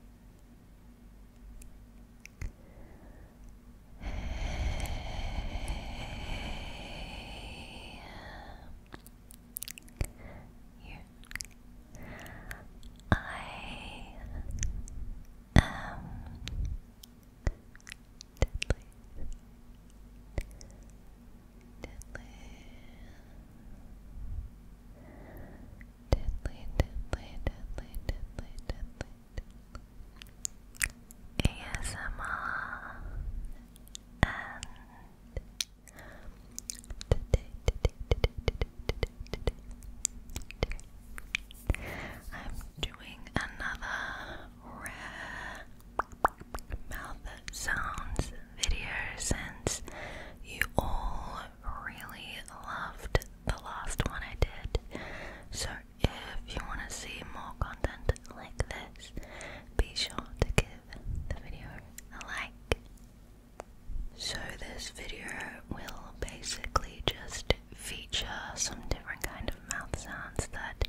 Hey, here. I am deadly, deadly, ASMR I'm doing another rare mouth sounds video since you all really loved the last one I did. So if you want to see more content like this, be sure to give the video a like. So this video will basically just feature some different kind of mouth sounds that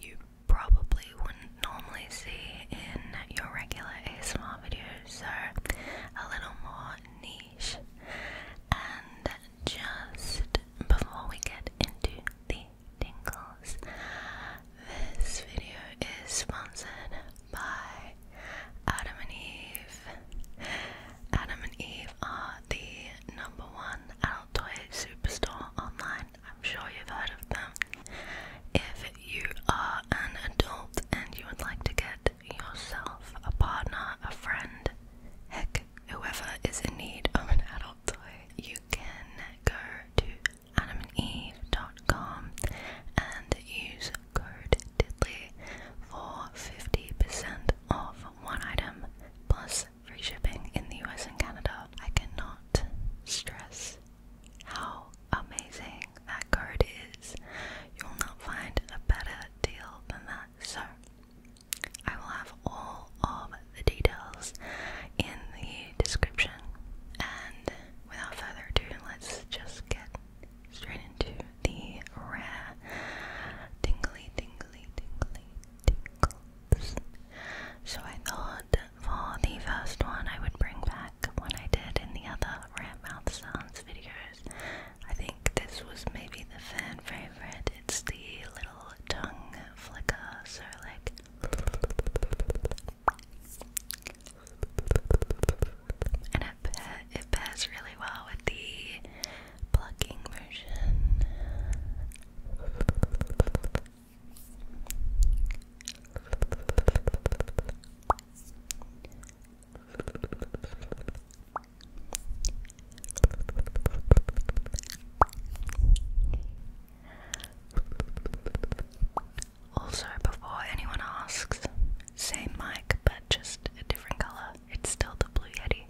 you probably wouldn't normally see in your regular ASMR videos. So a little more neat. And just before we get into the tingles, this video is sponsored by Adam and Eve. Adam and Eve are the number one adult toy superstore online. I'm sure you've heard of them. If you are an adult and you would like to get yourself a partner, a friend, heck, whoever is in need of an adult toy. You can go to adamandeve.com and use code Diddly for 50% off one item plus free shipping in the US and Canada. I cannot stress how amazing that card is. You will not find a better deal than that, so I will have all of the details in the description. And without further ado, let's just get straight into the rare tingly, tingly, tingly, tingles. So I thought for the first one I would bring back what I did in the other rat mouth sounds videos I think this was maybe the fan favorite. It's the little tongue flicker, so like. And it, it pairs really well with the plucking version. Also, before anyone asks, same mic but just a different color. It's still the Blue Yeti.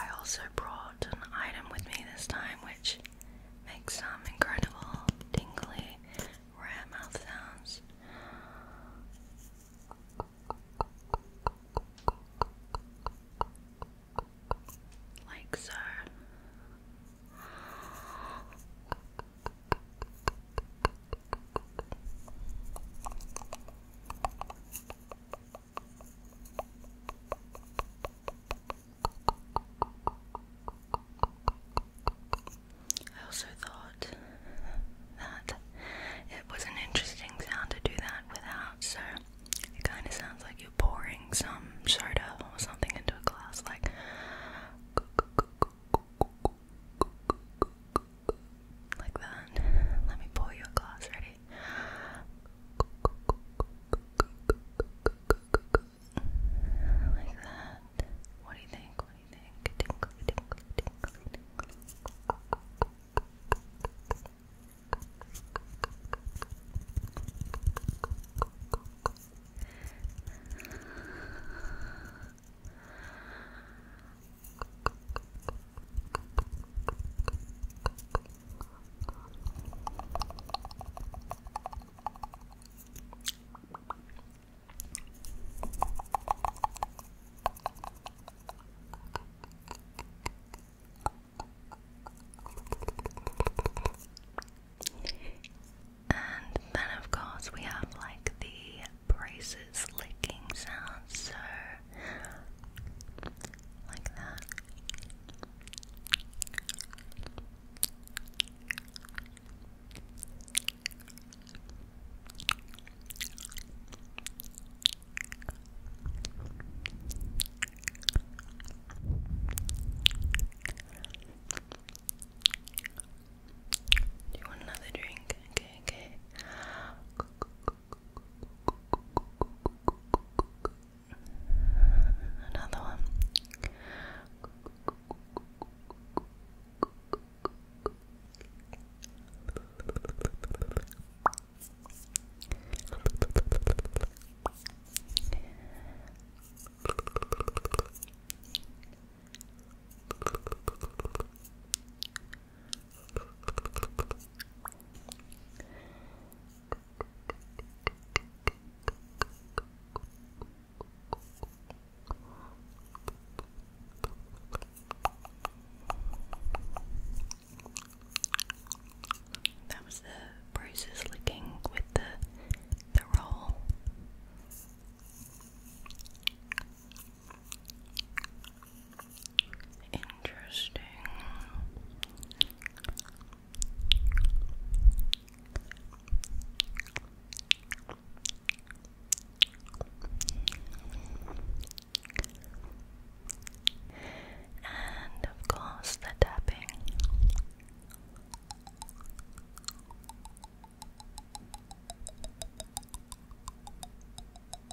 I also brought an item with me this time which makes some incredible tingly rare mouth sounds. Like so. I also thought that it was an interesting sound to do that without, so it kind of sounds like you're pouring some soda or something into a glass, like. Like that. Let me pull you glass. Ready? Like that. What do you think? What do you think? Tinkle, tinkle, tinkle, tinkle. And then, of course, we have like the braces licking sounds, so like that. Do you want another drink? Okay, okay. Another one. That was the bruises licking with the the roll. Interesting. And of course, the tapping.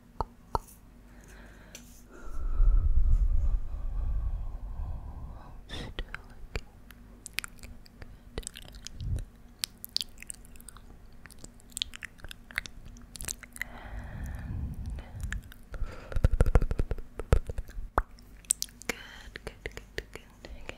Okay. Hold still again.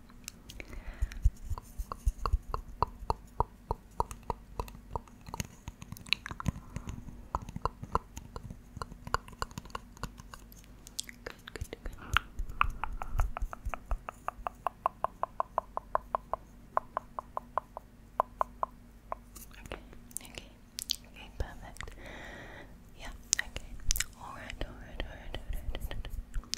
good, good. Okay, okay, perfect. Yeah, okay. alright, alright, alright, alright.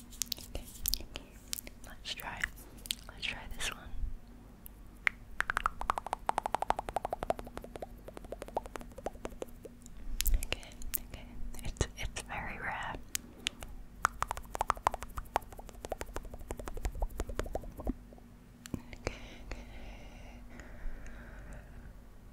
Okay. Let's try. Let's try this one. Okay, okay. It's it's very rare. Okay, okay.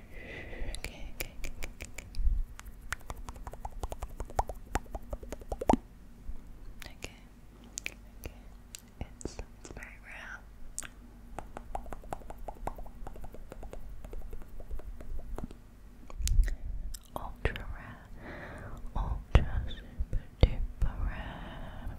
okay, okay, okay, okay. Okay, okay. It's it's very rare. Ultra rare, ultra super duper rare.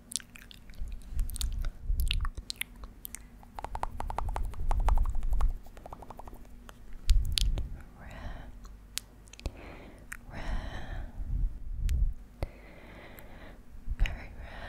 Rare. Rare. Very rare.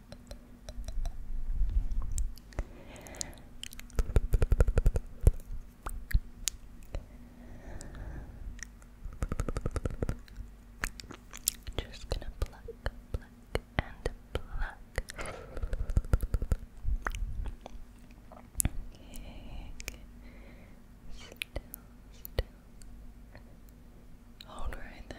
Just gonna pluck, pluck, and pluck. Okay, still. Hold right there.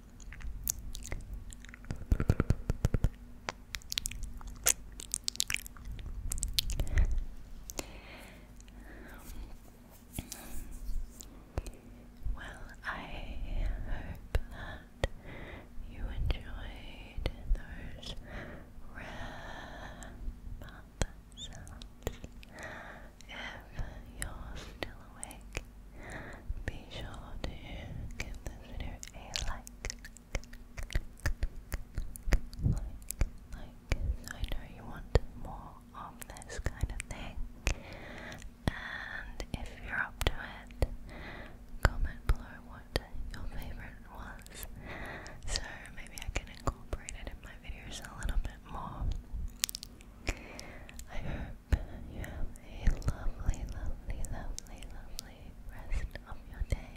Um, well, I hope that you enjoyed those rare sounds. If you're still awake be sure to give this video a like, like, like, so I know you want more of this kind of thing. And if you're up to it, comment below what your favorite was, so maybe I can incorporate it in my videos a little bit more. I hope you have a lovely, lovely, lovely, lovely rest of your day.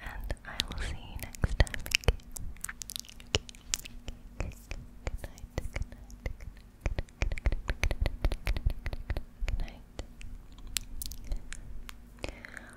And I will see you next time. Good night, good night, good night, good night,